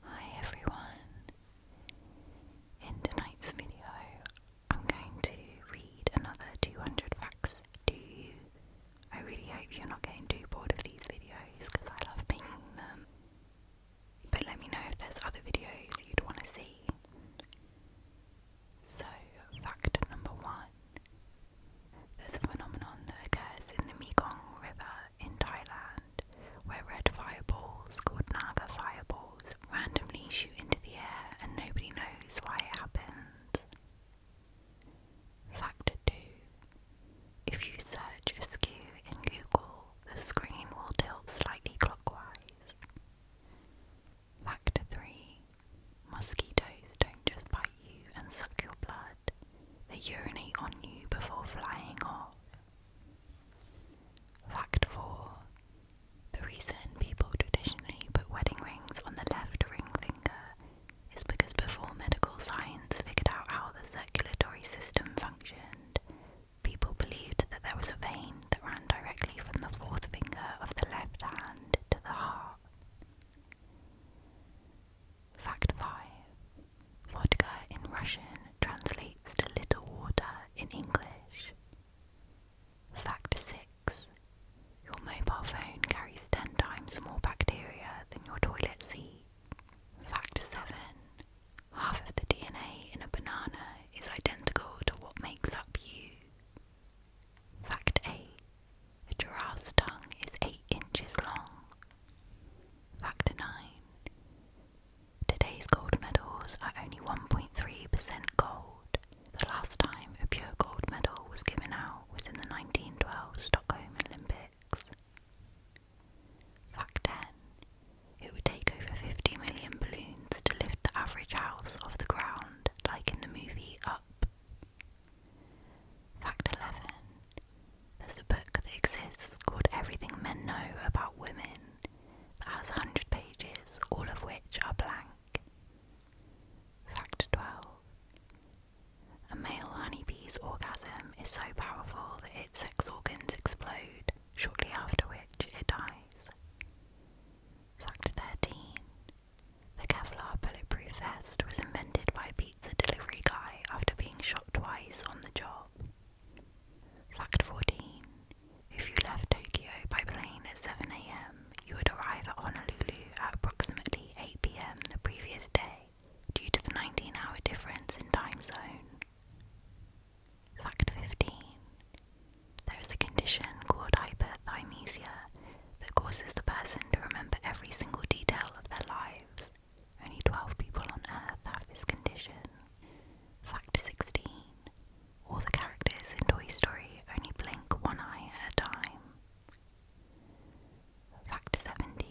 Hi everyone! In tonight's video, I'm going to read another 200 facts to you. I really hope you're not getting too bored of these videos because I love making them. But let me know if there's other videos you'd want to see. So, fact number one there's a phenomenon that occurs in the Mekong River in Thailand, where red fireballs, called Naga fireballs, randomly shoot into the air and nobody knows why it happened. Factor 2 If you search askew in Google, the screen will tilt slightly clockwise. Factor 3 Mosquitoes don't just bite you and suck your blood, they urinate on you before flying off. Fact 4. The reason people traditionally put wedding rings on the left ring finger is because before medical science figured out how the circulatory system functioned, people believed that there was a vein that ran directly from the fourth finger of the left hand to the heart. Fact 5. Vodka in Russian translates to little water in English. Fact 6. Your mobile phone carries 10 times more bacteria than your toilet seat. Fact 7. Half of the DNA in a banana is identical to what makes up you. Fact 8. A giraffe's tongue is 8 inches long. Factor 9. Today's gold medals are only 1.3% gold. The last time a pure gold medal was given out was in the 1912 Stockholm Olympics. Fact 10. It would take over 50 million balloons to lift the average house off the ground, like in the movie Up. Fact 11. There's a book that exists called Everything Men Know About Women that has 100 pages, all of which are blank. Fact 12. A male honeybee's orgasm is so powerful that its sex organs explode, shortly after which it dies. Fact 13. The Kevlar bulletproof vest was invented by pizza delivery guy after being shot twice on the job. Fact 14. If you left Tokyo by plane at 7am, you would arrive at Honolulu at approximately 8pm the previous day due to the 19 hour difference in time zone. Fact 15. There is a condition called hyperthymesia that causes the person to remember every single detail of their lives only 12 people on Earth have this condition. Fact 16. All the characters in Toy Story only blink one eye at a time. Fact 17.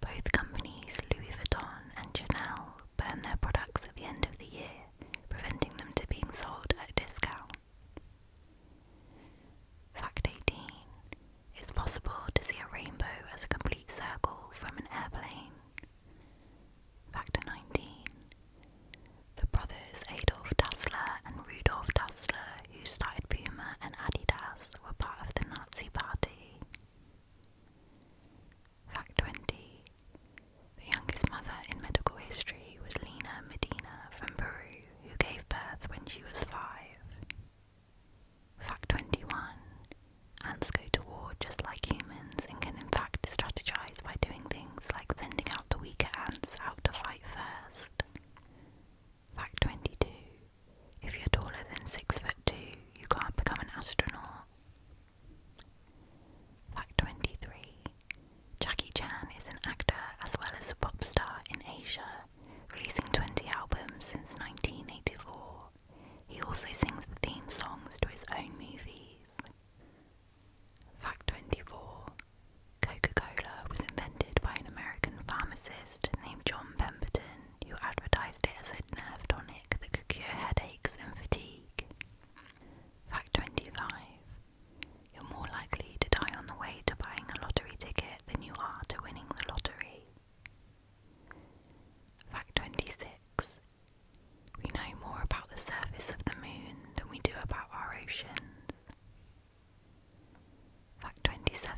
Both companies, Louis Vuitton and Chanel, burn their products at the end of the year, preventing them to being sold at discount. Fact 18. It's possible to see a rainbow as a complete circle from an airplane. Factor 19. The brothers Adolf Dassler and Rudolf Dassler, who started Puma and Adidas, were part of the Nazi Party. Fact 20. The youngest mother in medical history was Lena Medina from Peru, who gave birth when she was five. Fact 21 Ants go to war just like humans and can in fact strategize by doing things like sending out the weaker ants out to fight first. Fact 22 If you're taller than 6 foot 2, you can't become an astronaut. Fact 23 Jackie Chan is an actor as well as a pop star in Asia releasing 20 albums since 1984. He also sings the theme songs to his own movies. Fact 24 Coca Cola was invented by an American pharmacist named John Pemberton, who advertised it as a nerve tonic that could cure headaches and fatigue. Fact 25 You're more likely to die on the way to buying a lottery ticket than you are to winning the lottery. Fact 26. We know more about the surface of the moon than we do about our oceans. Fact 27.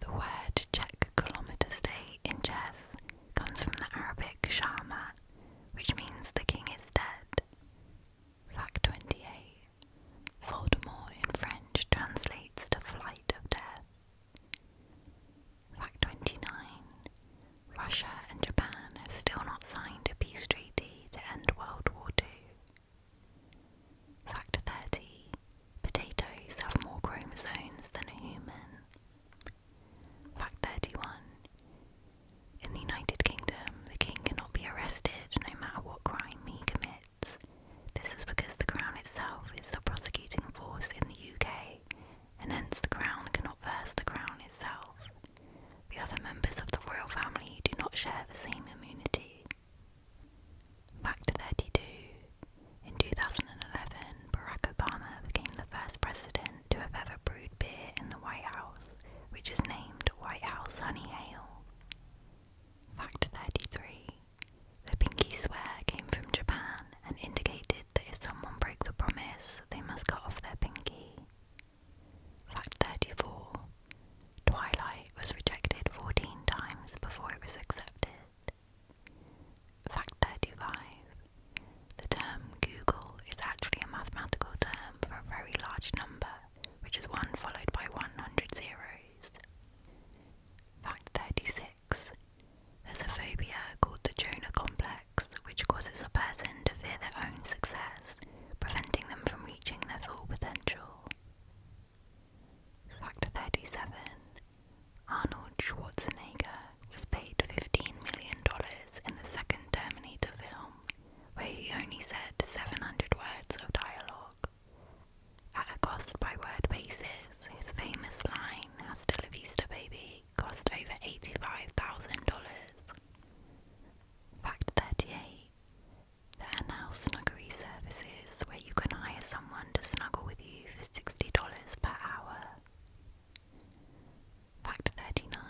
The word Czech kilometre day in Chess comes from the Arabic Shama, which means the king is dead. Fact 28. Voldemort in French translates to flight of death. Fact 29 Russia and Japan have still not signed a peace treaty to end World War II. Fact 30 Potatoes have more chromosomes than a human. Fact 31 In the United Kingdom, the king cannot be arrested no matter what crime he commits. This is because the Crown itself is the prosecuting force in the UK, and hence the Crown cannot verse the Crown itself. The other members of the royal family do not share the same immunity. Fact 32 In 2011, Barack Obama became the first president to have ever brewed beer in the White House, which is named White House Honey Ale. Fact 33 the pinky swear came from Japan and indicated that if someone broke the promise, they must cut off their pinky. Fact 34 Twilight was rejected 14 times before it was accepted. Fact 35 The term Google is actually a mathematical term for a very large number, which is one followed by 100 zeros. Fact 36 There's a phobia called the Jonah complex, which causes a person to fear their own success, preventing them from reaching their full potential. Fact 37 Arnold Schwarzenegger was paid $15 million in the second Terminator film, where he only said 700 words of dialogue. At a cost by word basis, his famous line, Hasta la vista baby, cost over $85,000. Fact 38 There are now snuggery services where you can hire someone to snuggle with you for $60 per hour. Fact 39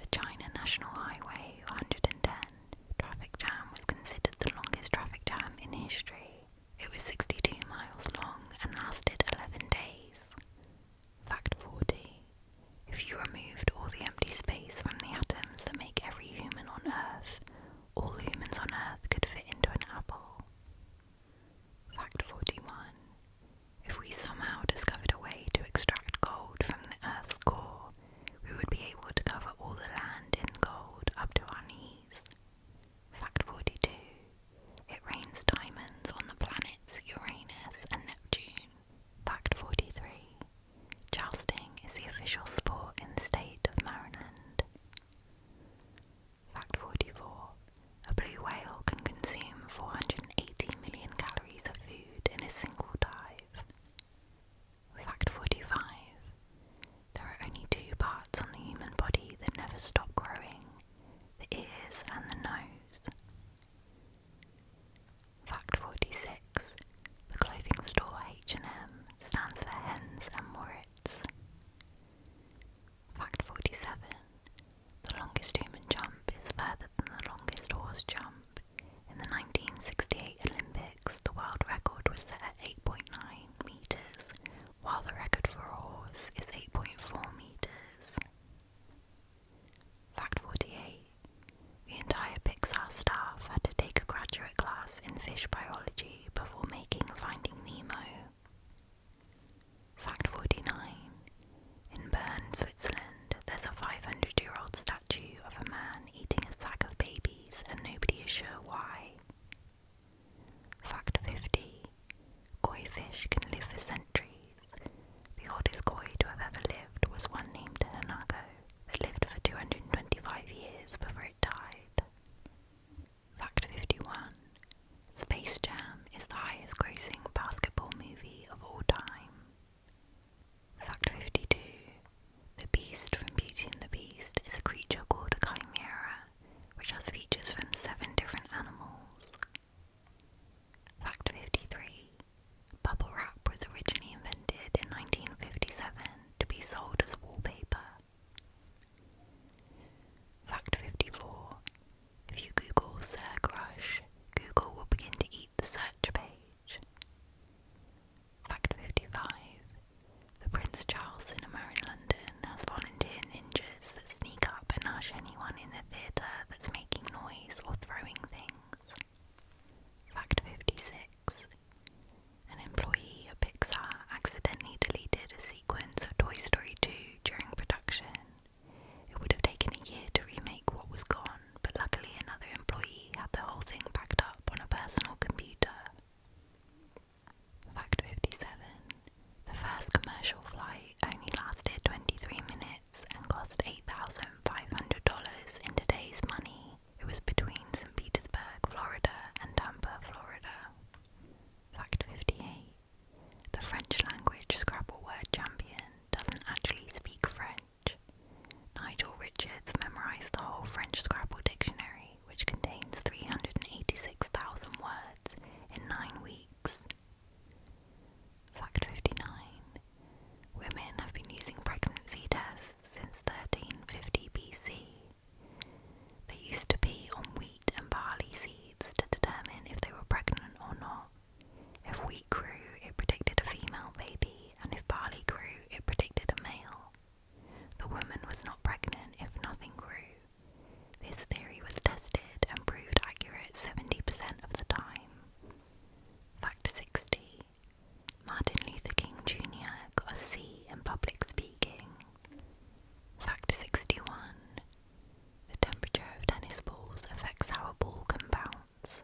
The China National Highway 110 traffic jam was considered the longest traffic jam in history. It was 62 miles long and lasted 11 days. Fact 40. If you removed all the empty space from the atoms that make every human on Earth, all humans on Earth could fit into an apple. Fact 41. If we somehow discovered a way to extract gold from the Earth's core, we would be able to cover all the land in gold up to our knees. Fact 42 It rains diamonds on the planets Uranus and Neptune. Fact 43 Jousting is the official sport in the state of Maryland. Fact 44 A blue whale can consume 480 million calories of food in a single dive. Fact 45. There are only two parts on the human body that never stop growing the ears and the nose. Fact 46. The clothing store H&M stands for Hens and Moritz. Fact 47. The longest human jump is further than the longest horse jump. In the 1968 Olympics, the world record was set at 8.9 meters, while the record for a horse is 8.4 meters. Fact 48. The entire Pixar staff had to take a graduate class in fish biology before making Finding Nemo. Fact 49. In Bern, Switzerland, there's a 500 year old statue of a man eating a sack of babies and nobody is sure why. Fact 50 Koi fish can live for centuries. The oldest koi to have ever lived was one named Hanako that lived for 225 years before it died. Fact 51 Space Jam is the highest grossing basketball movie of all time. Fact 52 the beast from Beauty and the Beast is a creature called a chimera, which has features from seven different animals. Fact 53 Bubble wrap was originally invented in 1957 to be sold as wallpaper. Fact 54 If you Google Sir Crush, Google will begin to eat the search page. Fact 55. The Prince Charles Cinema in London has volunteer ninjas that sneak up and hush anyone in the theatre that's making noise or throwing things. Fact 56. An employee of Pixar accidentally deleted a sequence of Toy Story 2 during production. It would have taken a year to remake what was gone, but luckily another employee had the whole thing backed up on a personal computer. Fact 57 The first commercial flight only lasted 23 minutes and cost $8,500 in today's money. It was between St. Petersburg, Florida and Tampa, Florida. Fact 58 The French language Scrabble word champion doesn't actually speak French. Nigel Richards memorised the whole French Scrabble dictionary which contains 386,000 words in nine weeks. Fact 59 Women have been using pregnancy tests since 1350 BC. They used to be on wheat and barley seeds to determine if they were pregnant or not. If wheat grew, it predicted a female baby, and if barley grew, it predicted a male. The woman was not pregnant if nothing grew. This theory was tested and proved accurate 70% of the time. Fact 60 Martin Luther King Jr. got a C in public speaking. Fact 61 The temperature of tennis balls affects how a ball can bounce.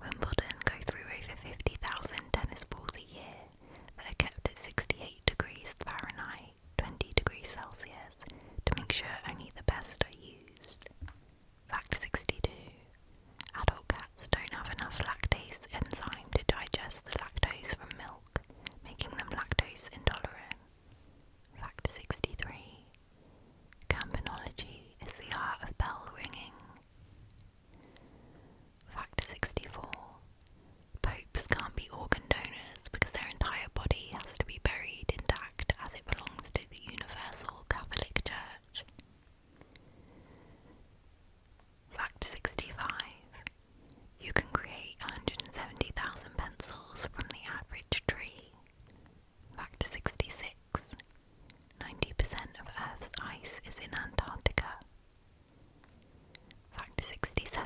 Wimbledon go through over 50,000 tennis balls a year, that are kept at 68 degrees Fahrenheit, 20 degrees Celsius, to make sure only the best are used. Fact 62 Adult cats don't have enough lactase enzyme to digest the lactose from milk, making them lactose intolerant. Fact 63 Campanology is the art of bell ringing. Fact 64 Popes can't be organ donors because their entire body has to be buried intact as it belongs to the Universal Catholic Church. Fact 65 You can create 170,000 pencils from the average tree. Fact 66 percent of Earth's ice is in Antarctica. Fact 67.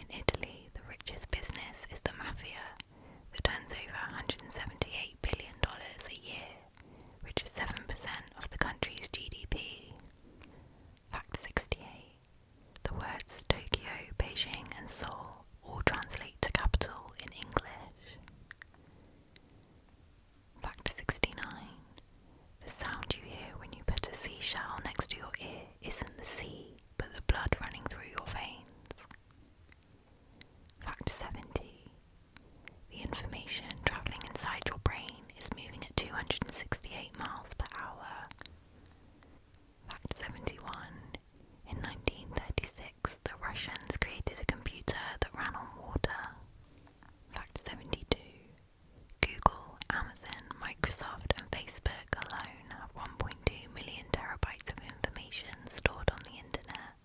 In Italy, the richest business is the mafia that turns over $178 billion a year, which is 7% of the country's GDP. Fact 68. The words Tokyo, Beijing, and Seoul all translate to capital in English. Fact 69. The sound you hear when you put a seashell next to your ear isn't the sea, but the blood running through your veins. Fact 70. The information travelling inside your brain is moving at 268 miles per hour. Fact 71. In 1936, the Russians created a computer that ran on water. Fact 72. Google, Amazon, Microsoft, and Facebook alone have 1.2 million terabytes of information stored on the internet.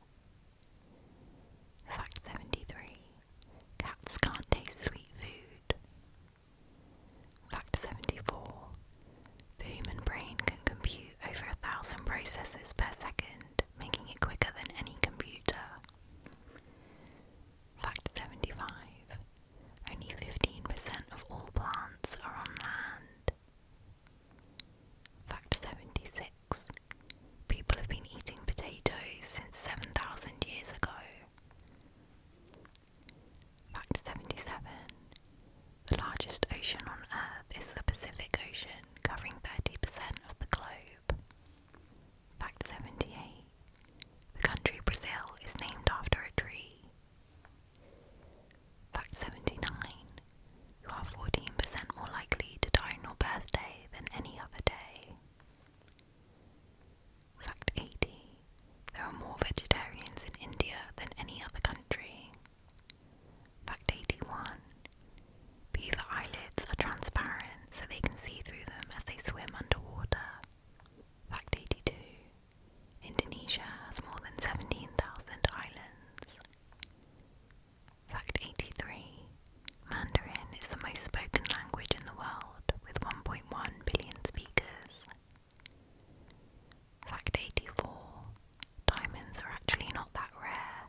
Fact 73 Cats can't taste sweet food. Fact 74 The human brain can compute over a thousand processes per second, making it quicker than any computer. Fact 75. Only 15% of all plants are on land. Fact 76. People have been eating potatoes since 7,000 years ago. Fact 77. The largest ocean on Earth is the Pacific Ocean, covering 30% of the globe. Fact 78 The country Brazil is named after a tree. Fact 79 You are 14% more likely to die on your birthday than any other day. Fact 80 There are more vegetarians in India than any other country. Fact 81 Beaver eyelids are transparent so they can see through them as they swim underwater. Fact 82 Indonesia has more than 17,000 islands. Fact 83 Mandarin is the most spoken language in the world with 1.1 billion speakers. Fact 84 Diamonds are actually not that rare.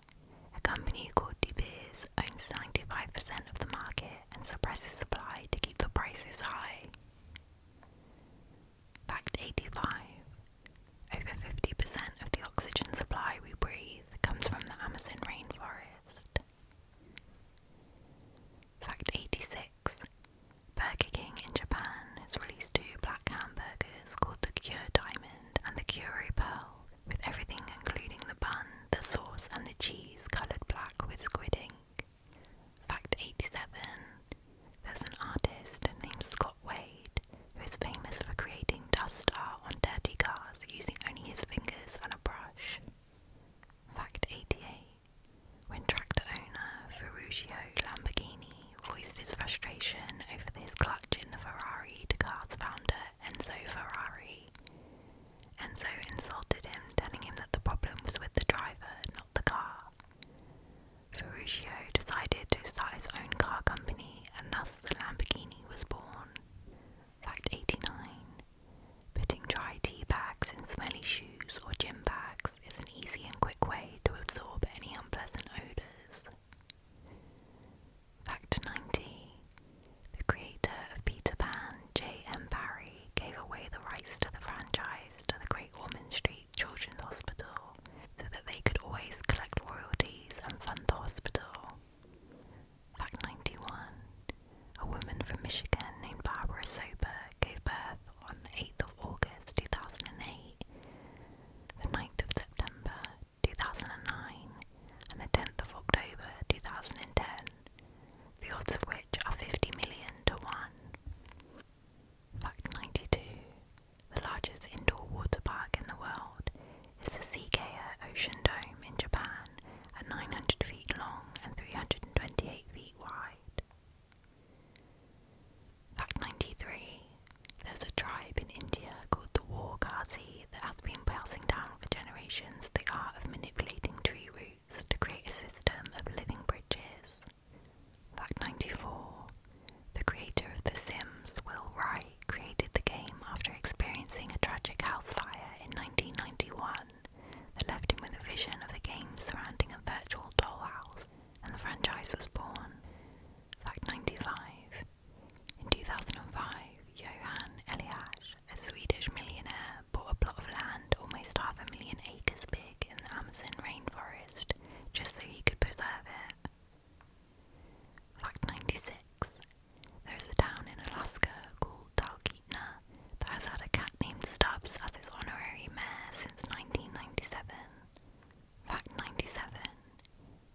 A company called De Beers owns 95% of the market and suppresses supply to keep the prices high. Fact 85 Over 50% of the oxygen supply we breathe comes from the Amazon rainforest. Fact 86 Burger King in Japan has released two black hamburgers called the Cure Diamond and the Cure Pearl, with everything including the bun the sauce and the cheese coloured black with squid ink. Fact 87. There's an artist named Scott Wade who is famous for creating dust art on dirty cars using only his fingers and a brush. Fact 88. When tractor owner Ferruccio Lamborghini voiced his frustration over his clutch in the Ferrari to car's founder Enzo Ferrari, and so insulted him, telling him that the problem was with the driver, not the car. Ferruccio decided to start his own car company, and thus the Lamborghini was born. Fact 89. Putting dry tea bags in smelly shoes or gym bags is an easy and quick way to absorb any unpleasant odours. Fact 90. The creator of Peter Pan, J.M. Barrie, gave away the rights to the franchise to the Great Ormond Street Children's Hospital so that they could always collect royalties and fund the hospital. Fact 91 A woman from Michigan named Barbara Soper gave birth on the 8th of August 2008, the 9th of September 2009, and the 10th of October 2010 the odds of which are 50 million to 1. Fact 92. The largest indoor water park in the world is the Seikei Ocean Dome in Japan at 900 feet long and 328 feet wide. Fact 93. There's a tribe in India called the Wargati that has been passing down for generations the art of manipulating tree roots to create a system of living bridges. Fact 94 The creator of The Sims, Will Wright, created the game after experiencing a tragic house fire in 1991 that left him with a vision of a game surrounding a virtual dollhouse, and the franchise was born. Fact 95 In 2005, Johan Eliash, a Swedish millionaire bought a plot of land almost half a million acres big in the Amazon rainforest just so he could preserve it. Fact 96. There is a town in Alaska called Talkeetna that has had a cat named Stubbs as its honorary mayor since 1997. Fact 97.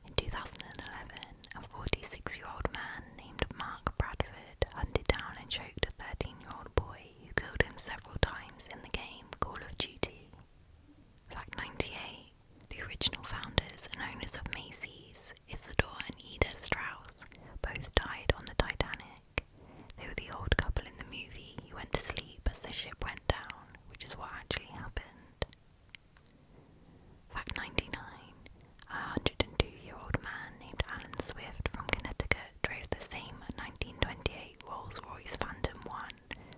In 2011, a 46 year old man named Mark Bradford hunted down and choked a 13 year old boy who killed him several times in the game Call of Duty. Fact 98 The original founders and owners of Macy's, Isidore and Eda Strauss, both died on the Titanic. They were the old couple in the movie who went to sleep as the ship went down, which is what actually happened. Fact 99 a 102-year-old man named Alan Swift from Connecticut drove the same 1928 Rolls-Royce Phantom 1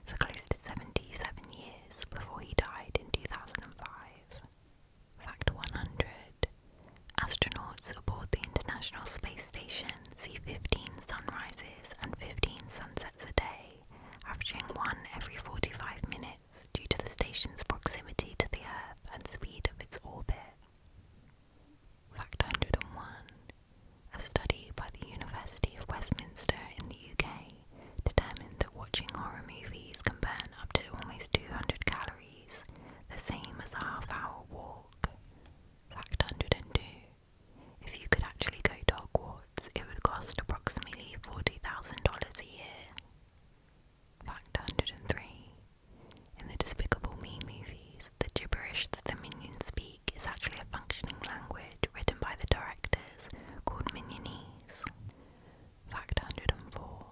for close to 77 years before he died in 2005. Fact 100. Astronauts aboard the International Space Station see 15 sunrises and 15 sunsets a day, averaging one every 45 minutes due to the station's proximity to the Earth and speed of its orbit. Fact 101 A study by the University of Westminster in the UK determined that watching horror movies can burn up to almost 200 calories, the same as a half hour walk. Fact 102 If you could actually go to Hogwarts, it would cost approximately $40,000 a year. Fact 103. In the Despicable Me movies, the gibberish that the minions speak is actually a functioning language written by the directors called Minionese. Fact 104.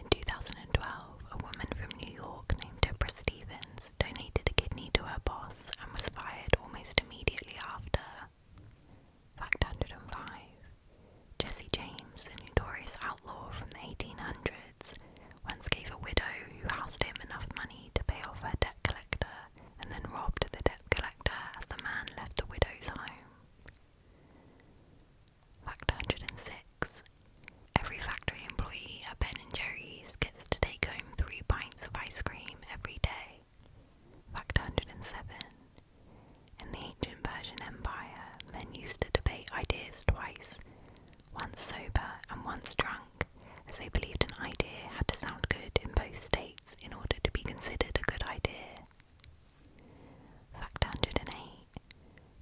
In 2012, a woman from New York named Deborah Stevens donated a kidney to her boss and was fired almost immediately after. Fact 105. Jesse James, the notorious outlaw from the 1800s, once gave a widow who housed him enough money to pay off her debt collector and then robbed the debt collector as the man left the widow's home. Fact 106. Every factory employee at Ben and Jerry's gets to take home three pints of ice cream every day. Fact 107. In the ancient Persian Empire, men used to debate ideas twice once sober and once drunk, as they believed an idea had to sound good in both states in order to be considered a good idea. Fact 108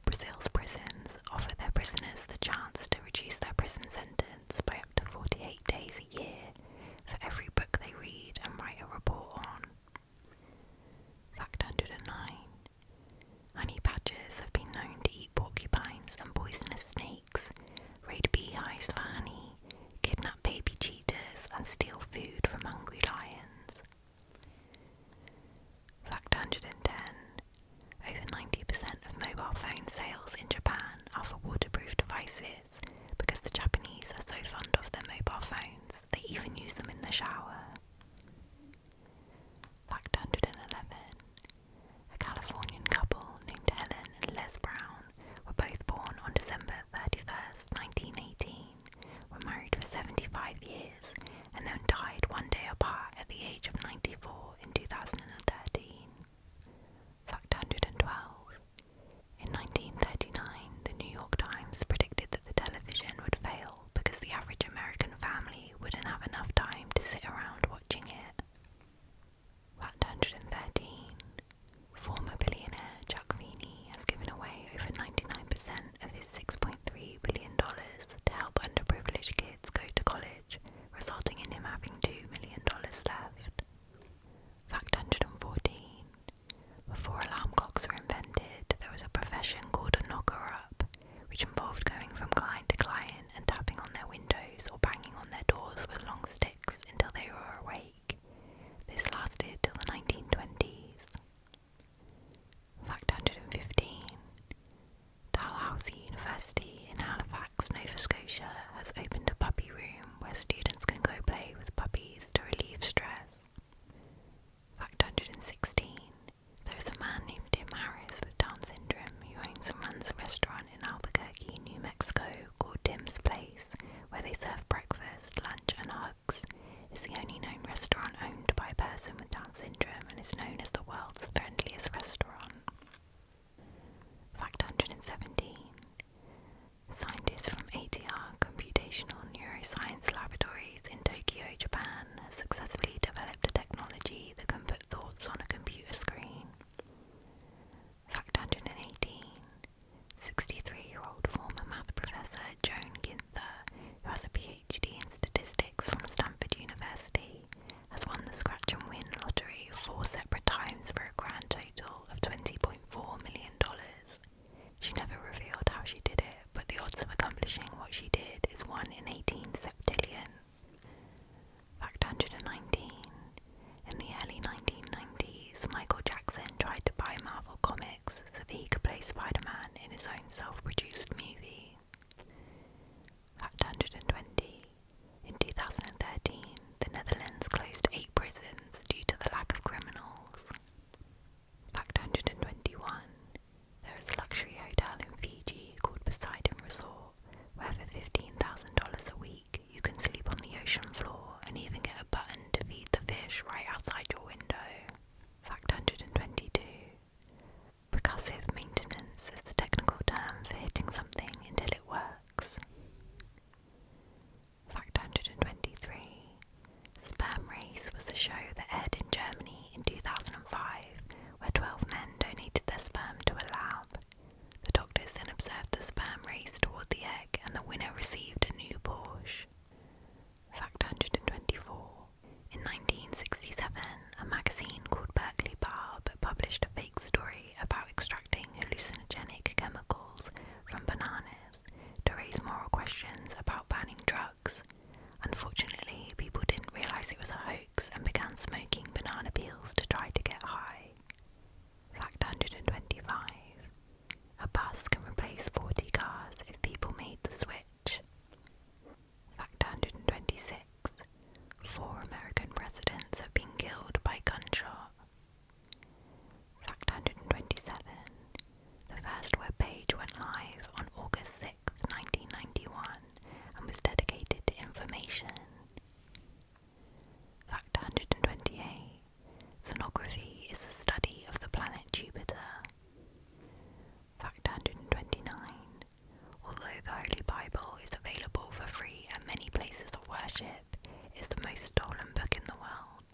Brazil's prisons offer their prisoners the chance to reduce their prison sentence by up to 48 days a year for every book they read and write a report on. Fact 109 Honey badgers have been known to eat porcupines and poisonous snakes, raid beehives for honey, kidnap baby cheetahs, and steal food from hungry lions. Fact 110 Over 90% of mobile phone sales in Japan are for waterproof devices because the Japanese are so fond of their mobile phones they even use them in the shower. Fact 111. A Californian couple named Helen and Les Brown were both born on December 31st, 1918, were married for 75 years, and then died one day apart at the age of 94 in 2013. Fact 112. In 1939, the New York Times predicted the television would fail because the average American family wouldn't have enough time to sit around watching it. Fact 113. Former billionaire Jack Feeney has given away over 99 of his $6.3 billion to help underprivileged kids go to college, resulting in him having $2 million left. Fact 114. Before alarm clocks were invented, there was a profession called a knocker up, which involved going from client to client and tapping on their windows or banging on their doors with long sticks until they were awake. This lasted till the 1920s. Fact 115 Dalhousie University in Halifax, Nova Scotia has opened a puppy room where students can go play with puppies to relieve stress. Fact 116 there's a man named Tim Harris with Down syndrome who owns and runs a restaurant in Albuquerque, New Mexico called Tim's Place, where they serve breakfast, lunch, and hugs. It's the only known restaurant owned by a person with Down syndrome and is known as the world's friendliest restaurant. Fact 117 Scientists from ATR Computational Neuroscience Laboratories in Tokyo, Japan, has successfully developed a technology that can put thoughts on a computer screen. Fact 118 63 year old former math professor Joan Ginther, who has a PhD in statistics from Stanford University, has won the scratch and win lottery four separate times for a grand total of $20.4 million. She never revealed how she did it but the odds of accomplishing what she did is 1 in 18 septillion. Fact 119. In the early 1990s, Michael Jackson tried to buy Marvel Comics so that he could play Spider Man in his own self produced movie. Fact 120. In 2013, the Netherlands closed eight prisons due to the lack of criminals. Fact 121. There is a luxury hotel in Fiji called Poseidon Resort, where for $15,000 a week you can sleep on the ocean floor and even get a button to feed the fish right outside your window. Fact 122. Percussive maintenance is the technical term for hitting something until it works. Fact 123. Sperm Race was the show that aired in Germany in 2005 where 12 men donated their sperm to a lab. The doctors then observed the sperm race toward the egg, and the winner received a new Porsche. Fact 124. In 1967, a magazine called Berkeley Barb published a fake story about extracting hallucinogenic chemicals from bananas to raise moral questions about banning drugs Unfortunately, people didn't realise it was a hoax and began smoking banana peels to try to get high. Fact 125 A bus can replace 40 cars if people made the switch. Fact 126 Four American presidents have been killed by gunshot. Fact 127 The first web page went live on August 6, 6, 1991, and was dedicated to information. Fact 128 Sonography is the study of the planet Jupiter. Fact 129 Although the Holy Bible is available for free at many places of worship, it's the most stolen book in the world.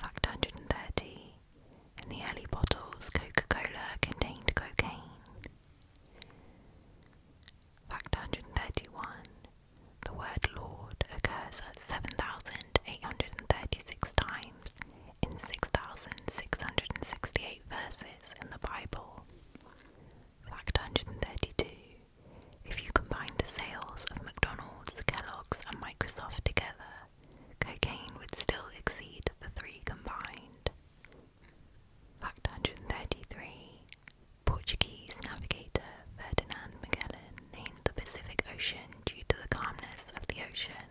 Fact 130 in the early bottles, Coca Cola contained cocaine. Fact 131 The word Lord occurs at 7,836 times in 6,668 verses in the Bible. Fact 132 If you combine the sales of McDonald's, Kellogg's, and Microsoft together, cocaine would still exceed the three combined. Fact 133 Portuguese navigator Ferdinand Magellan named the Pacific Ocean due to the calmness of the ocean.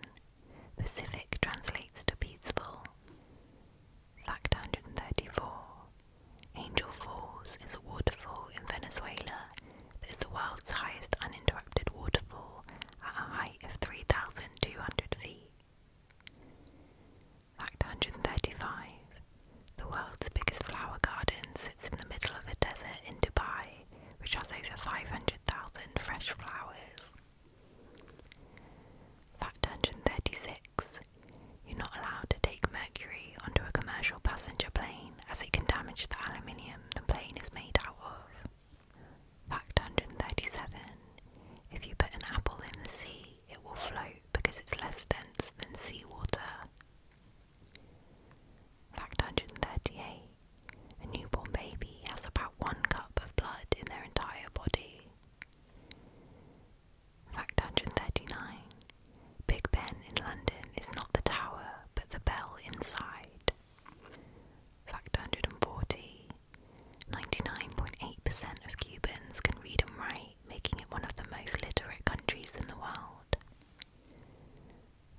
Pacific translates to peaceful. Fact 134 Angel Falls is a waterfall in Venezuela that is the world's highest uninterrupted waterfall at a of 3,200 feet. Fact 135. The world's biggest flower garden sits in the middle of a desert in Dubai, which has over 500,000 fresh flowers. Fact 136. You're not allowed to take mercury onto a commercial passenger plane as it can damage the aluminium the plane is made out of. Fact 137. If you put an apple in the sea, it will float because it's less dense than seawater. Fact 138. A newborn baby has about one cup of blood in their entire body. Fact 139. Big Ben in London is not the tower, but the bell inside. Fact 140 99.8% of Cubans can read and write, making it one of the most literate countries in the world.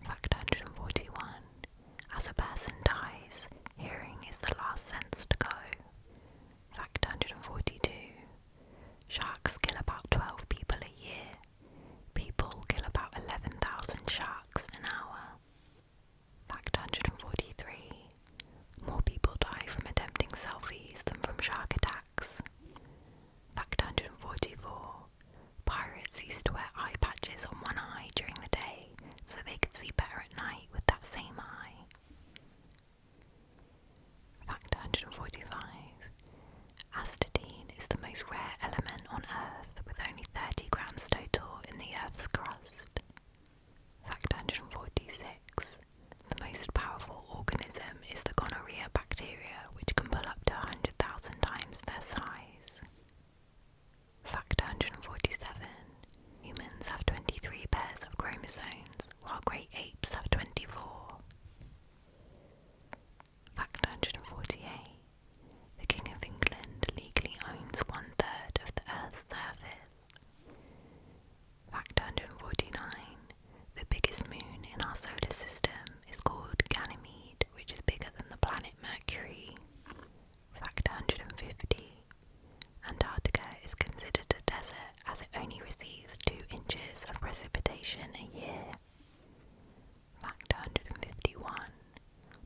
Fact 141 As a person dies, hearing is the last sense to go. Fact 142 Sharks kill about 12 people a year. People kill about 11,000 sharks an hour. Fact 143 More people die from attempting selfies than from shark attacks. Fact 144 Pirates used to wear eye patches on one eye during the day so they could see better at night with that same eye. Fact 145 Astatine is the most rare element on Earth with only 30 grams total in the Earth's crust. Fact 146. The most powerful organism is the gonorrhea bacteria, which can pull up to 100,000 times their size. Fact 147. Humans have 23 pairs of chromosomes, while great apes have 24. Fact 148. The King of England legally owns one third of the Earth's surface. Fact 149 The biggest moon in our solar system is called Ganymede, which is bigger than the planet Mercury. Fact 150 Antarctica is considered a desert as it only receives 2 inches of precipitation a year. Fact 151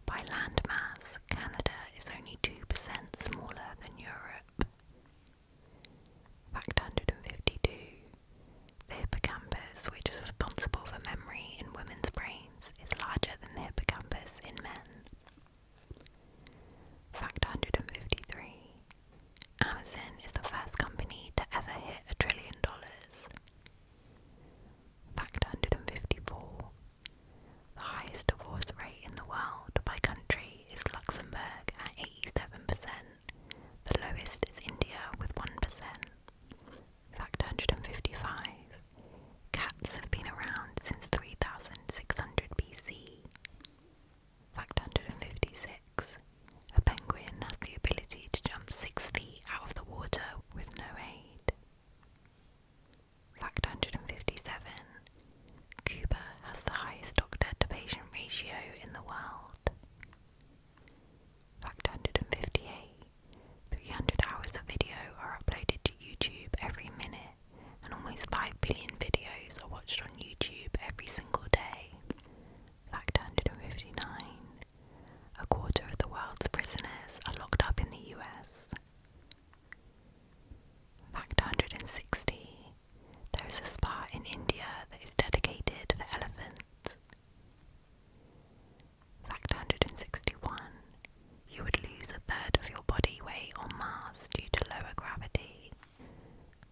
by land mass, Canada is only 2% smaller than Europe. Fact 152. The hippocampus, which is responsible for memory in women's brains, is larger than the hippocampus in men. Fact 153. Amazon is the first company to ever hit a trillion dollars. Fact 154. The highest divorce rate in the world by country is Luxembourg at 87%. The lowest is India with 1%. Fact 155. Cats have been around since 3600 BC. Fact 156. A penguin has the ability to jump 6 feet out of the water with no aid. Fact 157 Cuba has the highest doctor to patient ratio in the world. Fact 158 300 hours of video are uploaded to YouTube every minute, and almost 5 billion videos are watched on YouTube every single day. Fact 159 A quarter of the world's prisoners are locked up in the US. Fact 160 There is a spa in India that is dedicated for elephants. Fact 161 You would lose a third of your body weight on Mars due to lower gravity.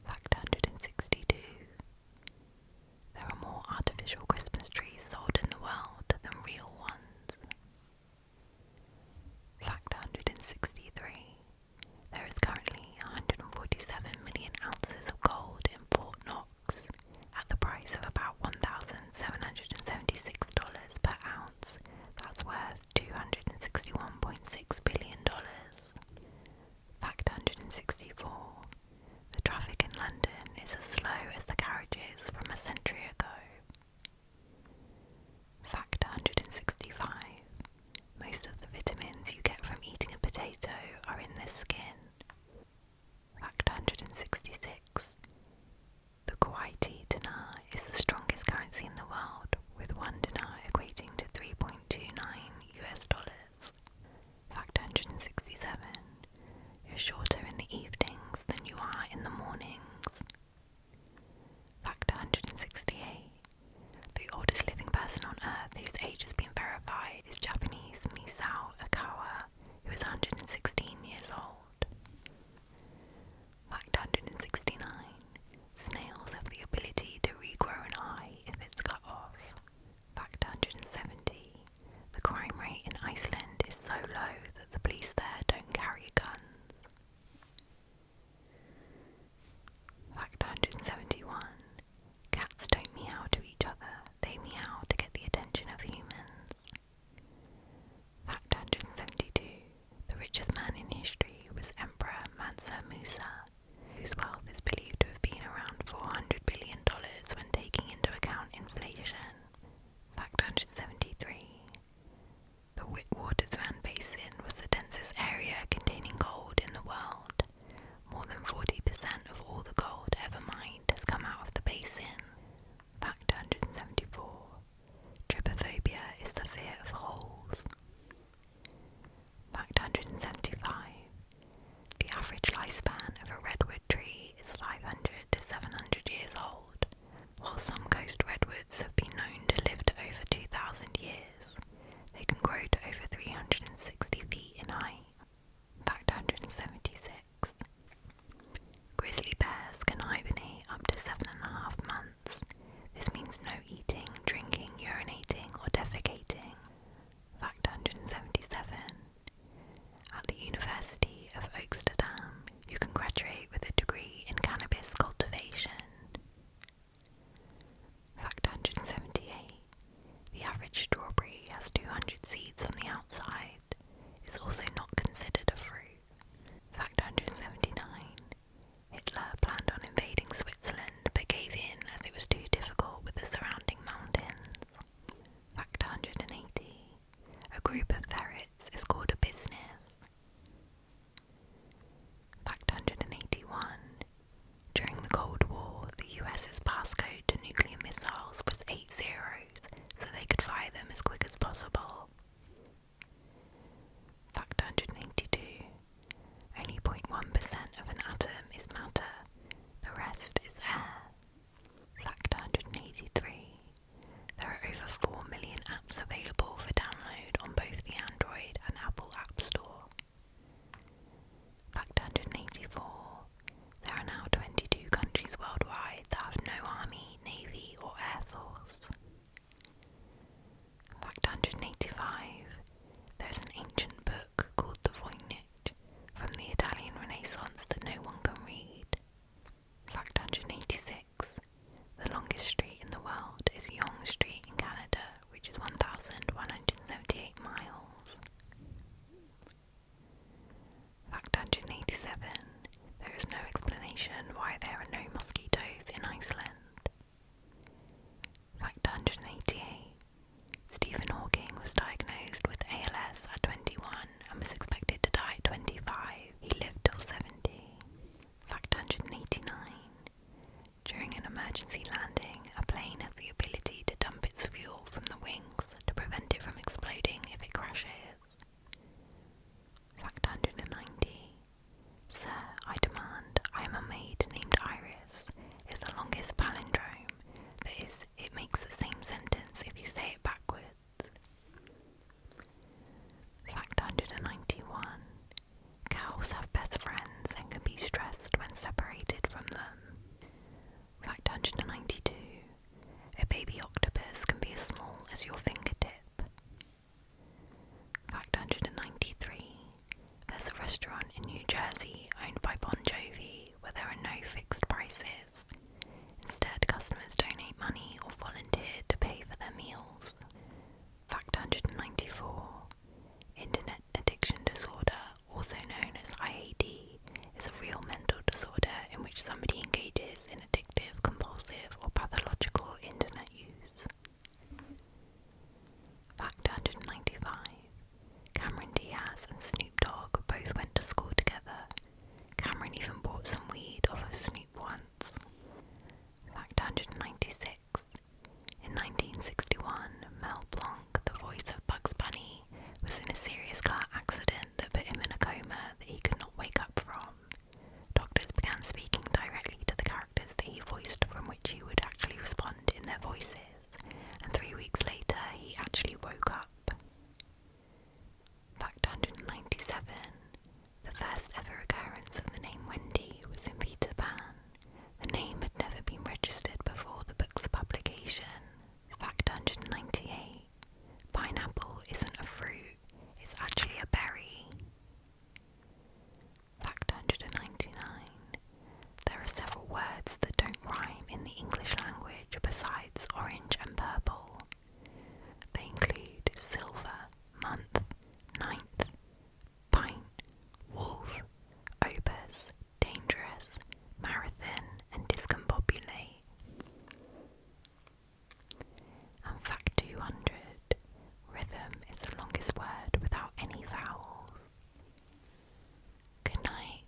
Fact 162 there are more artificial Christmas trees sold in the world than real ones. Fact 163. There is currently 147 million ounces of gold in Fort Knox at the price of about $1,776 per ounce. That's worth $261.6 billion. Fact 164. The traffic in London is as slow as the carriages from a century ago. Fact 165 Most of the vitamins you get from eating a potato are in the skin. Fact 166 The Kuwaiti dinar is the strongest currency in the world, with one dinar equating to 3.29 US dollars. Fact 167 You're shorter in the evenings than you are in the mornings. Fact 168. The oldest living person on Earth whose age has been verified is Japanese Misao Akawa, who is 116 years old. Fact 169. Snails have the ability to regrow an eye if it's cut off. Fact 170. The crime rate in Iceland is so low that the police there don't carry guns. Fact 171 Cats don't meow to each other, they meow to get the attention of humans. Fact 172 The richest man in history was Emperor Mansa Musa, whose wealth is believed to have been around $400 billion when taking into account inflation. Fact 173 the Witwatersrand Basin was the densest area containing gold in the world. More than 40% of all the gold ever mined has come out of the basin. Fact 174 Trypophobia is the fear of holes. Fact 175 The average lifespan of a redwood tree is 500 to 700 years old. While some coast redwoods have been known to live to over 2,000 years, they can grow to over 360 feet in height, fact 176. Grizzly bears can hibernate up to seven and a half months. This means no eating, drinking, urinating, or defecating. Fact 177. At the University of Oaksterdam, you can graduate with a degree in cannabis cultivation. Fact 178. The average strawberry has 200 seeds on the outside. It's also not considered a fruit. Fact 179. Hitler planned on invading Switzerland but gave in as it was too difficult with the surrounding mountains. Fact 180. A group of ferrets is called a business Fact 181. During the Cold War, the US's passcode to nuclear missiles was eight zeros, so they could fire them as quick as possible. Fact 182. Only 0.1% of an atom is matter, the rest is air. Fact 183. There are over 4 million apps available for download on both the Android and Apple App Store. Fact 184 There are now 22 countries worldwide that have no army, navy, or air force. Fact 185 There is an ancient book called the Voynich from the Italian Renaissance that no one can read. Fact 186. The longest street in the world is Yonge Street in Canada, which is 1,178 miles. Fact 187. There is no explanation why there are no mosquitoes in Iceland. Fact 188. Stephen Hawking was diagnosed with ALS at 21 and was expected to die at 25. He lived till 70. Fact 189. During an emergency landing, a plane has the ability to dump its fuel from the wings to prevent it from exploding if it crashes. Fact 190. Sir, I demand, I am a maid named Iris, is the longest palindrome. That is, it makes the same sentence if you say it backwards. Fact 191 Cows have best friends and can be stressed when separated from them. Fact 192 A baby octopus can be as small as your fingertip. Fact 193 There's a restaurant in New Jersey owned by Bon Jovi where there are no fixed prices. Instead, customers donate money or volunteer to pay for their meals. Fact 194 Internet addiction disorder, also known as IAD, is a real mental disorder in which somebody engages in addictive, compulsive, or pathological internet use. Fact 195 Cameron Diaz and Snoop Dogg both went to school together. Cameron even bought some weed off of Snoop once. Fact 196. In 1961, Mel Blanc, the voice of Bugs Bunny, was in a serious car accident that put him in a coma that he could not wake up from. Doctors began speaking directly to the characters that he voiced from which he would actually respond in their voices, and three weeks later he actually woke up. Fact 197 The first ever occurrence of the name Wendy was in Peter Pan. The name had never been registered before the book's publication. Fact 198 Pineapple isn't a fruit, it's actually a berry. Fact 199 There are several words that don't rhyme in the English language besides orange and purple. They include silver, month, ninth, pint, wolf, opus, dangerous, marathon, and discombobulate. And fact 200 rhythm is the longest word without any vowels. Good night.